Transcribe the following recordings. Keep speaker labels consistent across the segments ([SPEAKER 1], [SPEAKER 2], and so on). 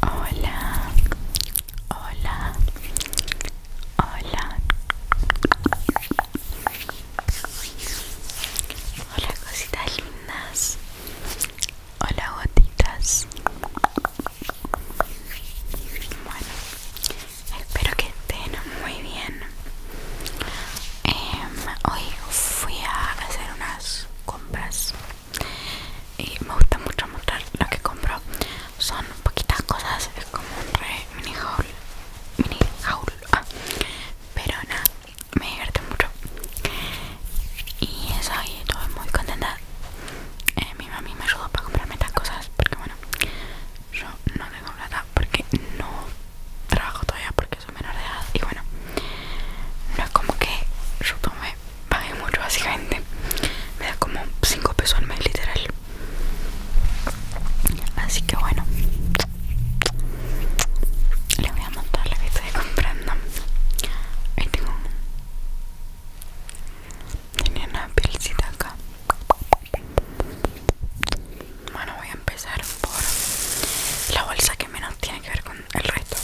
[SPEAKER 1] Hola, hola, hola. Hola cositas lindas. Hola gotitas. Bueno, espero que estén muy bien. Em, hoy fui a hacer unas compras y me gusta mucho mostrar lo que compro son poquitas cosas es como un re mini haul mini haul ah, pero nada me divertí mucho y eso y estoy muy contenta eh, mi mami me ayudó para comprarme estas cosas porque bueno yo no tengo plata porque no trabajo todavía o menor de edad y bueno no es como que yo tomé pagué mucho básicamente me da como 5 pesos al mes literal así que bueno le voy a montar la que estoy comprando ahí tengo tenía una pielcita acá bueno, voy a empezar por la bolsa que menos tiene que ver con el resto.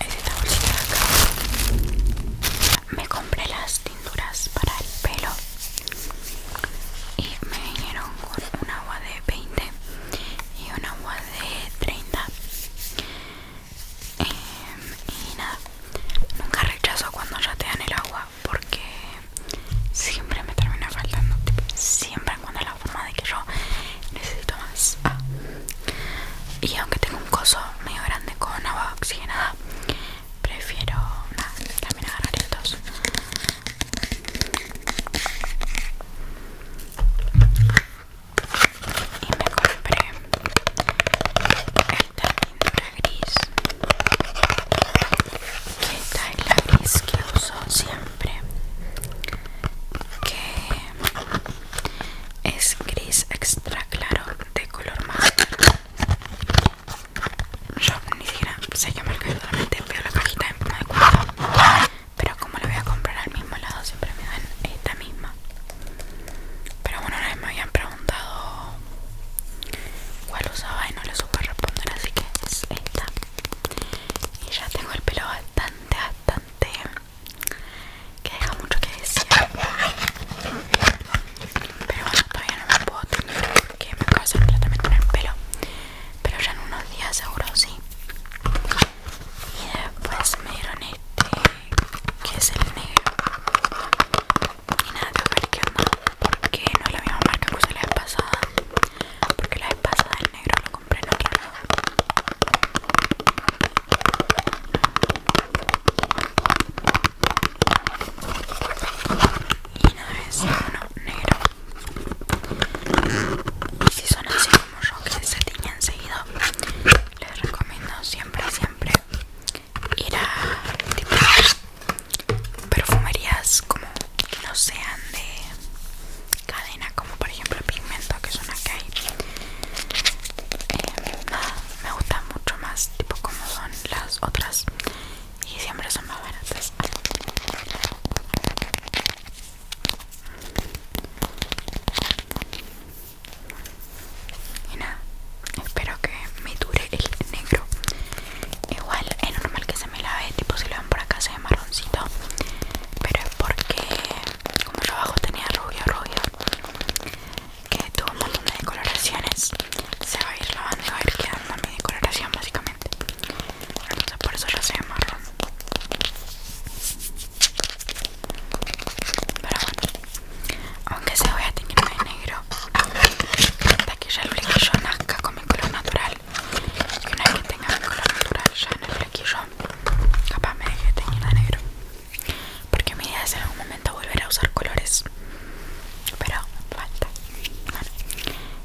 [SPEAKER 1] Es esta bolsita de acá. Me compré las tinturas para el pelo y me vinieron con un agua de 20 y un agua de 30. Em, y nada, nunca rechazo cuando ya te dan el agua porque siempre me termina faltando Siempre siempre es la forma de que yo necesito más ah. y aunque tengo un coso medio grande con agua oxigenada prefiero nada también agarrar estos y me compré esta pintura gris que gris que uso siempre que es gris extra claro de color más yo ni siquiera sé que marca solamente veo la cajita y de cuerda. pero como la voy a comprar al mismo lado siempre me dan esta misma pero bueno una vez me habían preguntado cuál usaba y no le supe responder así que es esta y ya tengo el pelo bastante bastante que deja mucho que decir pero bueno todavía no me puedo tener Que me acabo de hacer un el pelo pero ya en unos días seguro sí y después me dieron este que es el negro y nada que ver que no porque no es la misma marca que usé la vez pasada porque la vez pasada el negro lo compré en otra y no es uno negro y si son así como yo que se tiñen seguido les recomiendo siempre siempre ir a tipo perfumerías como que no sean de cadena, como por ejemplo pigmento, que son acá. que eh, nada, me gustan mucho más, tipo como son las otras, y siempre son más baratas. Y nada, espero que me dure el negro Igual es normal que se me lave, tipo si lo ven por acá se ve marroncito Pero es porque como yo abajo tenía rubio, rubio Que tuvo un montón de decoloraciones Se va a ir lavando, va a ir quedando mi decoloración básicamente Entonces por eso ya se ve marrón Pero bueno, aunque se voy a de negro hasta que ya el yo nazca con mi color natural y una vez que tenga mi color natural ya en el flequillo capaz me deje teniendo negro porque mi idea es en algún momento volver a usar colores pero falta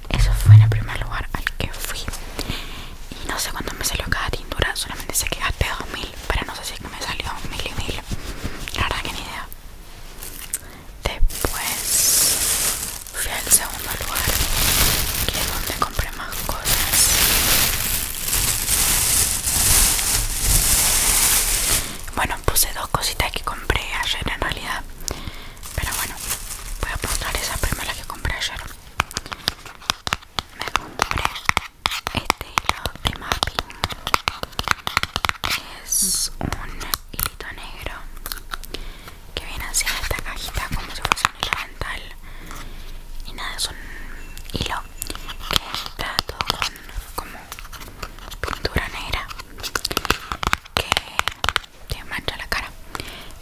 [SPEAKER 1] eso fue en el primer lugar al que fui y no sé cuánto me salió cada tintura solamente sé que gasté 2000 pero no sé si me salió mil y mil la verdad que ni idea Después fui al segundo lugar, que es donde compré más cosas. Bueno, puse dos cositas que compré ayer en realidad. Pero bueno, voy a mostrar esa primera que compré ayer. Me compré este hilo de es un hilito negro que viene así en esta cajita como si fuese un dental y nada es un hilo que está todo con como pintura negra que te mancha la cara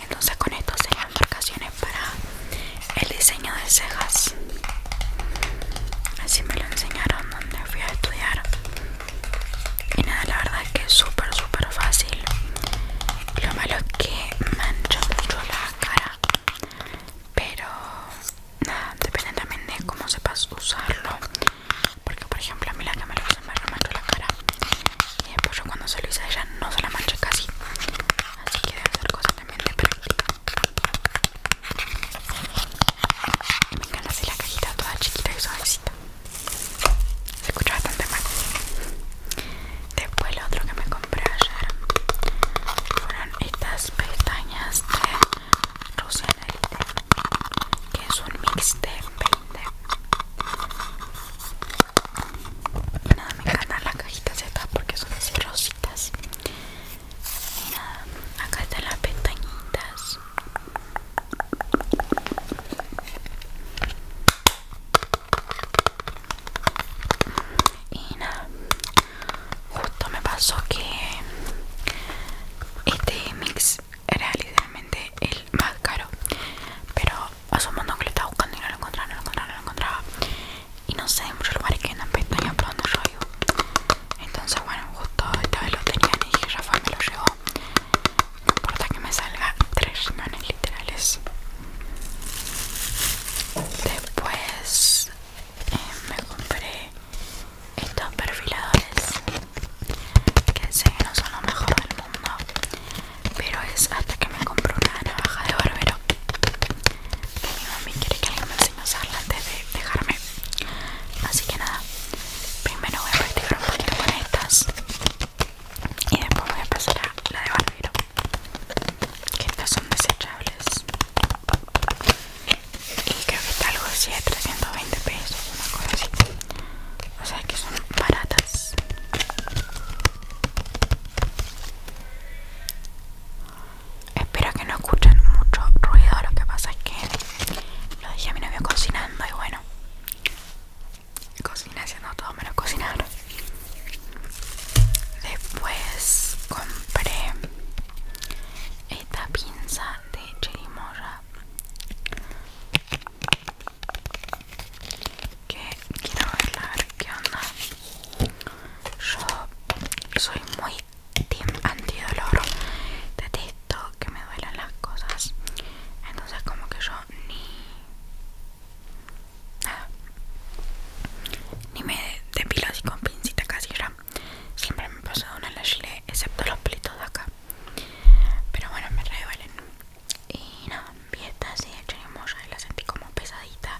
[SPEAKER 1] entonces con esto se marcaciones para el diseño de cejas así me lo enseñaron donde fui a estudiar y nada la verdad es que es súper súper fácil lo malo es que mancha mucho la cara pero nada depende también de cómo sepas usarlo porque por ejemplo a mí la que me lo me la cara y después yo cuando se lo hice a ella no se la mancha casi así que debe ser cosa también de me encanta así la cajita toda chiquita y suavecita. Se escucha bastante mal. Después lo otro que me compré ayer fueron estas pestañas de Rusia que es un mix de 20. Nada, me encantan las cajitas acá porque son así rositas. Y nada, acá están las pestañitas. Y nada, justo me pasó que este mix era literalmente el más caro. Pero asumiendo que lo estaba buscando y no lo encontraba, no lo encontraba, no lo encontraba. Y no sé, en muchos lugares que andan pestañas probando rollo. Entonces bueno, justo esta vez lo tenían y dije, Rafa me lo llevó. No importa que me salga tres riñones literales. Después eh, me compré estos perfiladores que sé que no son lo mejor del mundo, pero es hasta que me compré una navaja de barbero. Que mi mami quiere que le me más antes de dejarme así que nada primero voy a practicar un poquito con estas y después voy a pasar a la de barbero que estas son desechables y creo que está algo así de 320 pesos una cosa así o sea que son baratas Espero que no escuchen mucho ruido, lo que pasa es que lo dije a mi novio cocinando y bueno cociné haciendo todo menos cocinar después compré esta pinza de chirimoya que quiero verla, a ver qué onda yo soy muy team antidolor detesto que me duelen las cosas entonces como que yo ni nada ni me depilo así con pincita casera siempre me pasó de una la chile excepto los pelitos de acá pero bueno me re duelen y nada vi esta así mocha y la sentí como pesadita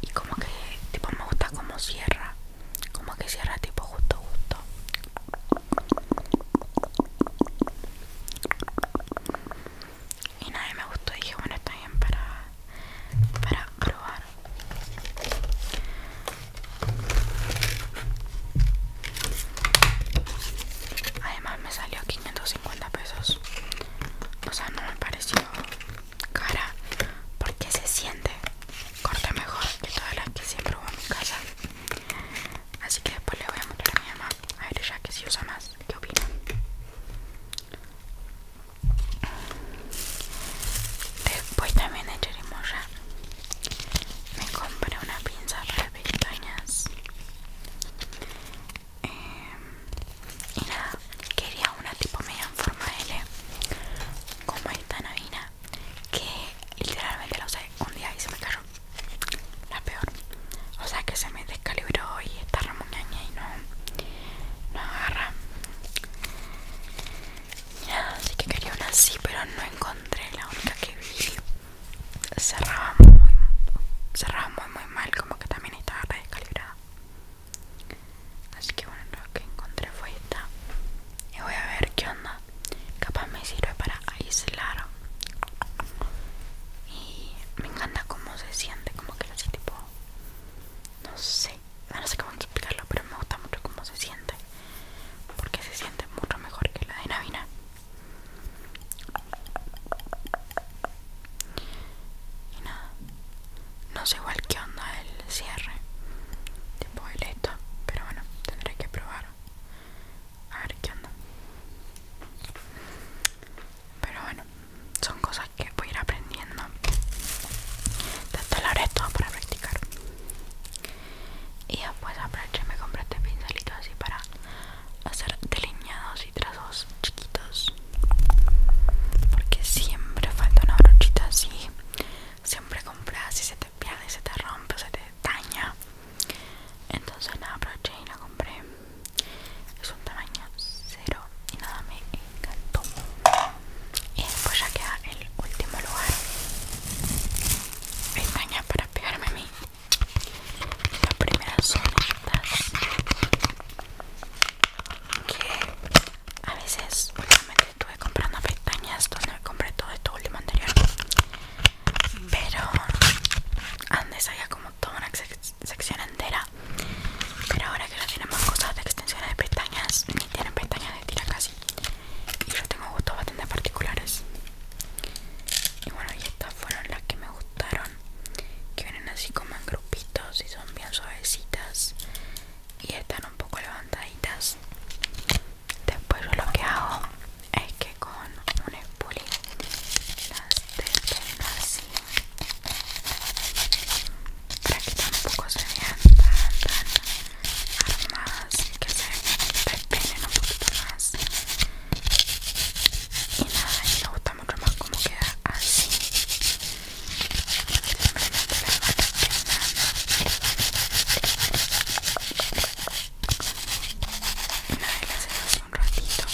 [SPEAKER 1] y como que tipo me gusta como cierra como que cierra tipo justo justo y nadie me gustó y dije bueno está bien para para probar además me salió 550 pesos o sea no me pareció cara porque se siente corta mejor que todas las que siempre hubo en mi casa así que después le voy a mostrar a mi mamá a ver ya que si usa más qué opina después también echaremos ya me compré una pinza para pestañas eh, y nada quería una tipo media en forma L Como esta navina que literalmente lo usé un día y se me cayó. La peor. O sea que se me descalibró y está remuñaña y no, no agarra. así que quería una así, pero no encontré la única que vi. Cerraba muy, cerraba muy, mal, como que también estaba descalibrada Así que bueno, lo que encontré fue esta. Y voy a ver qué onda. Capaz me sirve para aislar. Y me encanta cómo se siente, como que lo tipo. No sé, no sé cómo explicarlo, pero me gusta mucho cómo se siente. Porque se siente mucho mejor que la de Navina. Y nada, no sé igual qué onda el cierre tipo el pero bueno tendré que probar a ver qué onda pero bueno son cosas que voy a ir aprendiendo tanto la haré todo para practicar y después aproveché me compré este pincelito así para hacer delineados y trazos chiquitos porque siempre falta una brochita así siempre compras y se te pierde, se te rompe, se te daña. Entonces la aproveché y la compré. Es un tamaño cero y nada, me encantó. Y después ya queda el último lugar. Pestaña para pegarme a mí. Las primeras son estas que a veces últimamente estuve comprando pestañas donde compré todo esto último anterior pero antes había como toda una sección entera pero ahora que ya tienen más cosas de extensiones de pestañas ni tienen pestañas de tira casi y yo tengo gustos bastante particulares y bueno y estas fueron las que me gustaron que vienen así como en grupitos y son bien suavecitas y están un poco levantaditas después yo lo que hago es que con un spoolie las detengo así para que tampoco se vean tan armadas que se despeguen un poquito más y nada, y me gusta mucho más como queda así un ratito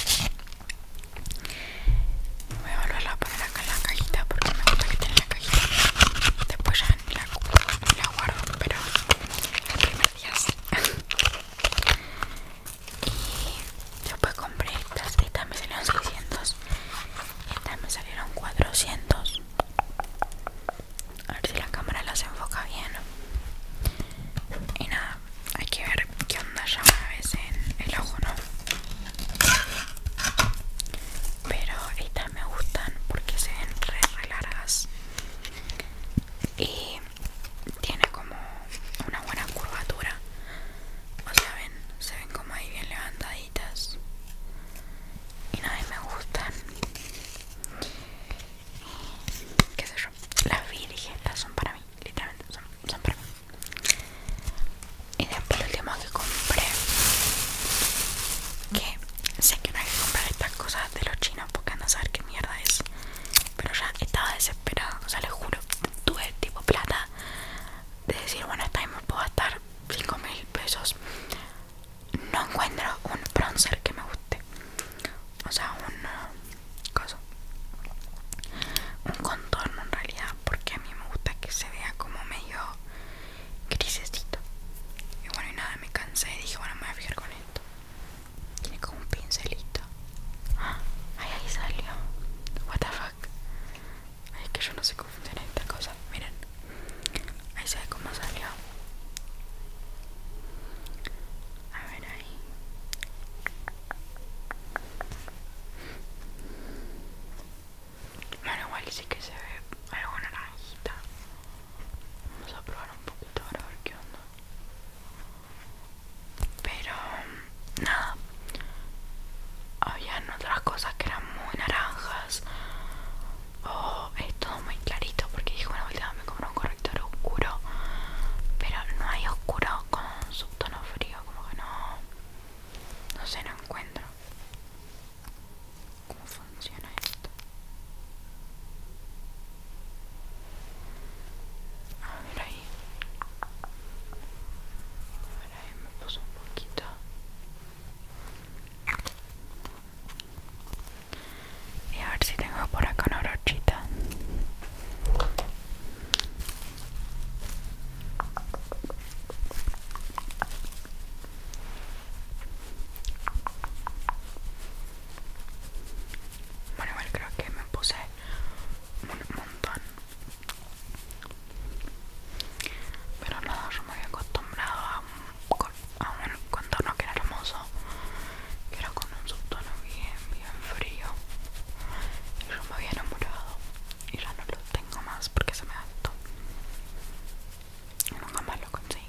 [SPEAKER 1] voy a volverla a poner acá en la cajita porque me gusta que tenga la cajita después ya la, la guardo pero el primer día sí y después compré estas estas me salieron 600 estas me salieron 400. A ver si la cámara las enfoca bien. Y nada, hay que ver qué onda ya una vez en el ojo, ¿no? Pero estas me gustan porque se ven re, largas. Y tiene como una buena curvatura. O sea, ven, se ven como ahí bien levantaditas y nadie me gustan qué sé yo las las son para mí literalmente son, para mí y después el último que compré que sé que no hay que comprar estas cosas de los chinos porque no saber qué mierda es pero ya estaba desesperada o sea les juro tuve tipo plata de decir bueno esta vez me puedo gastar 5 mil pesos no encuentro un bronzer que me guste o sea un cosa un contorno en realidad porque a mí me gusta que se vea como medio grisecito y bueno y nada me cansé y dije bueno me voy a fijar con esto tiene como un pincelito ¡Ah! ay ahí salió what the fuck es que yo no sé tiene esta cosa. Miren, ahí se ve cómo salió. A ver ahí. Bueno, igual sí que se ve algo naranjita. Vamos a probar un poquito ahora a ver qué onda. Pero nada habían otras cosas que eran muy naranjas oh, es todo muy clarito porque dije una vuelta me como un corrector oscuro pero no hay oscuro con subtono frío como que no no sé no encuentro cómo funciona esto a ahí me puse un poquito. Y a ver si tengo por acá una brochita. Bueno, creo que me puse un montón pero nada, yo me había acostumbrado a un, contorno que era hermoso, que era con un subtono bien, bien frío. Y yo me había enamorado y ya no lo tengo más porque se me gastó. Y nunca más lo conseguí.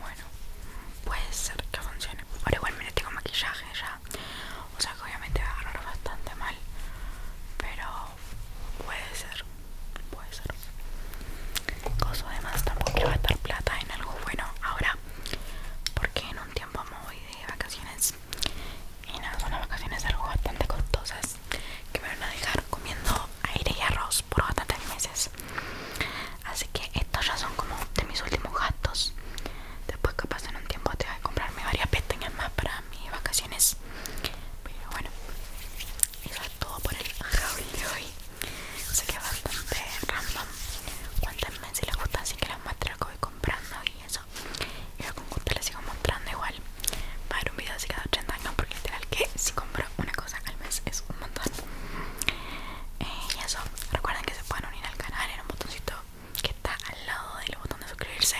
[SPEAKER 1] Bueno, puede ser que funcione. Ahora igual, mira, tengo maquillaje ya o sea que obviamente va a agarrar bastante mal. Pero puede ser, puede ser. Cosa además tampoco quiero gastar plata en algo bueno ahora. Porque en un tiempo me voy de vacaciones. Y nada, son las vacaciones algo bastante costosas. Que me van a dejar comiendo aire y arroz por bastantes meses. Así que estos ya son como de mis últimos gastos. Después que en un tiempo te voy a comprarme varias pestañas más para mis vacaciones. Pero bueno, eso es todo por el haul de hoy. Sé que es bastante random. Cuéntenme si les gusta así que les muestro que voy comprando y eso. Y luego con gusto les sigo mostrando igual. Va a haber un video así cada 80 años porque literal que si compro una cosa al mes es un montón. Eh, y eso, recuerden que se pueden unir al canal en un botoncito que está al lado del botón de suscribirse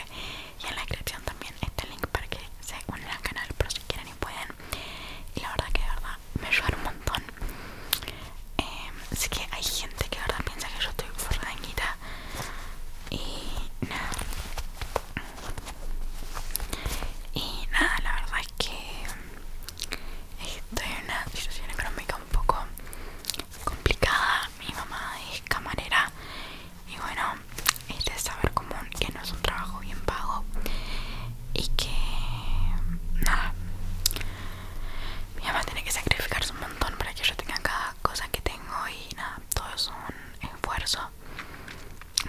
[SPEAKER 1] y en la descripción también está el link para que se unan al canal por si quieren y pueden y la verdad que de verdad me ayudaron un montón em, así que hay gente que de verdad piensa que yo estoy forrada y nada y nada la verdad es que estoy en una situación económica un poco complicada mi mamá es camarera y bueno, es saber común que no es un trabajo bien pago y que nada, mi mamá tiene que sacrificarse un montón para que yo tenga cada cosa que tengo y nada, todo es un esfuerzo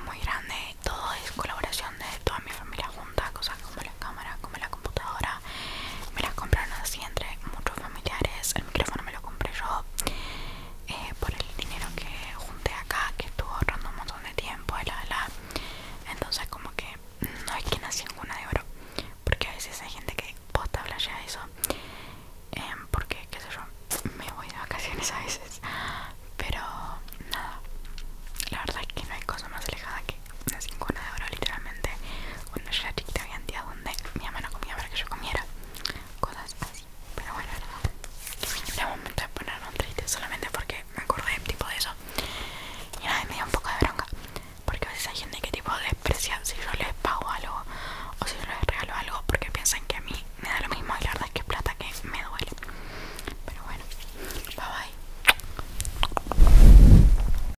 [SPEAKER 1] muy grande, todo es colaboración de toda mi familia junta, cosas como la cámara, como la computadora me las compraron así entre muchos familiares el micrófono me lo compré yo eh, por el dinero que junté acá que estuvo ahorrando un montón de tiempo la la, entonces como que no hay quien nací en cuna de oro porque a veces hay gente que posta ya eso em, porque qué sé yo me voy de vacaciones a veces pero nada la verdad es que no hay cosa más alejada que una cuna de oro literalmente cuando yo era chica había donde mi mamá no comía para que yo comiera cosas así pero bueno era momento de poner un triste solamente porque me acordé tipo de eso y nada me dio un poco de bronca porque a veces hay gente que tipo desprecia si yo les pago algo o si yo les regalo algo porque piensan que a mí me da lo mismo y la verdad es que es plata que me duele pero bueno bye bye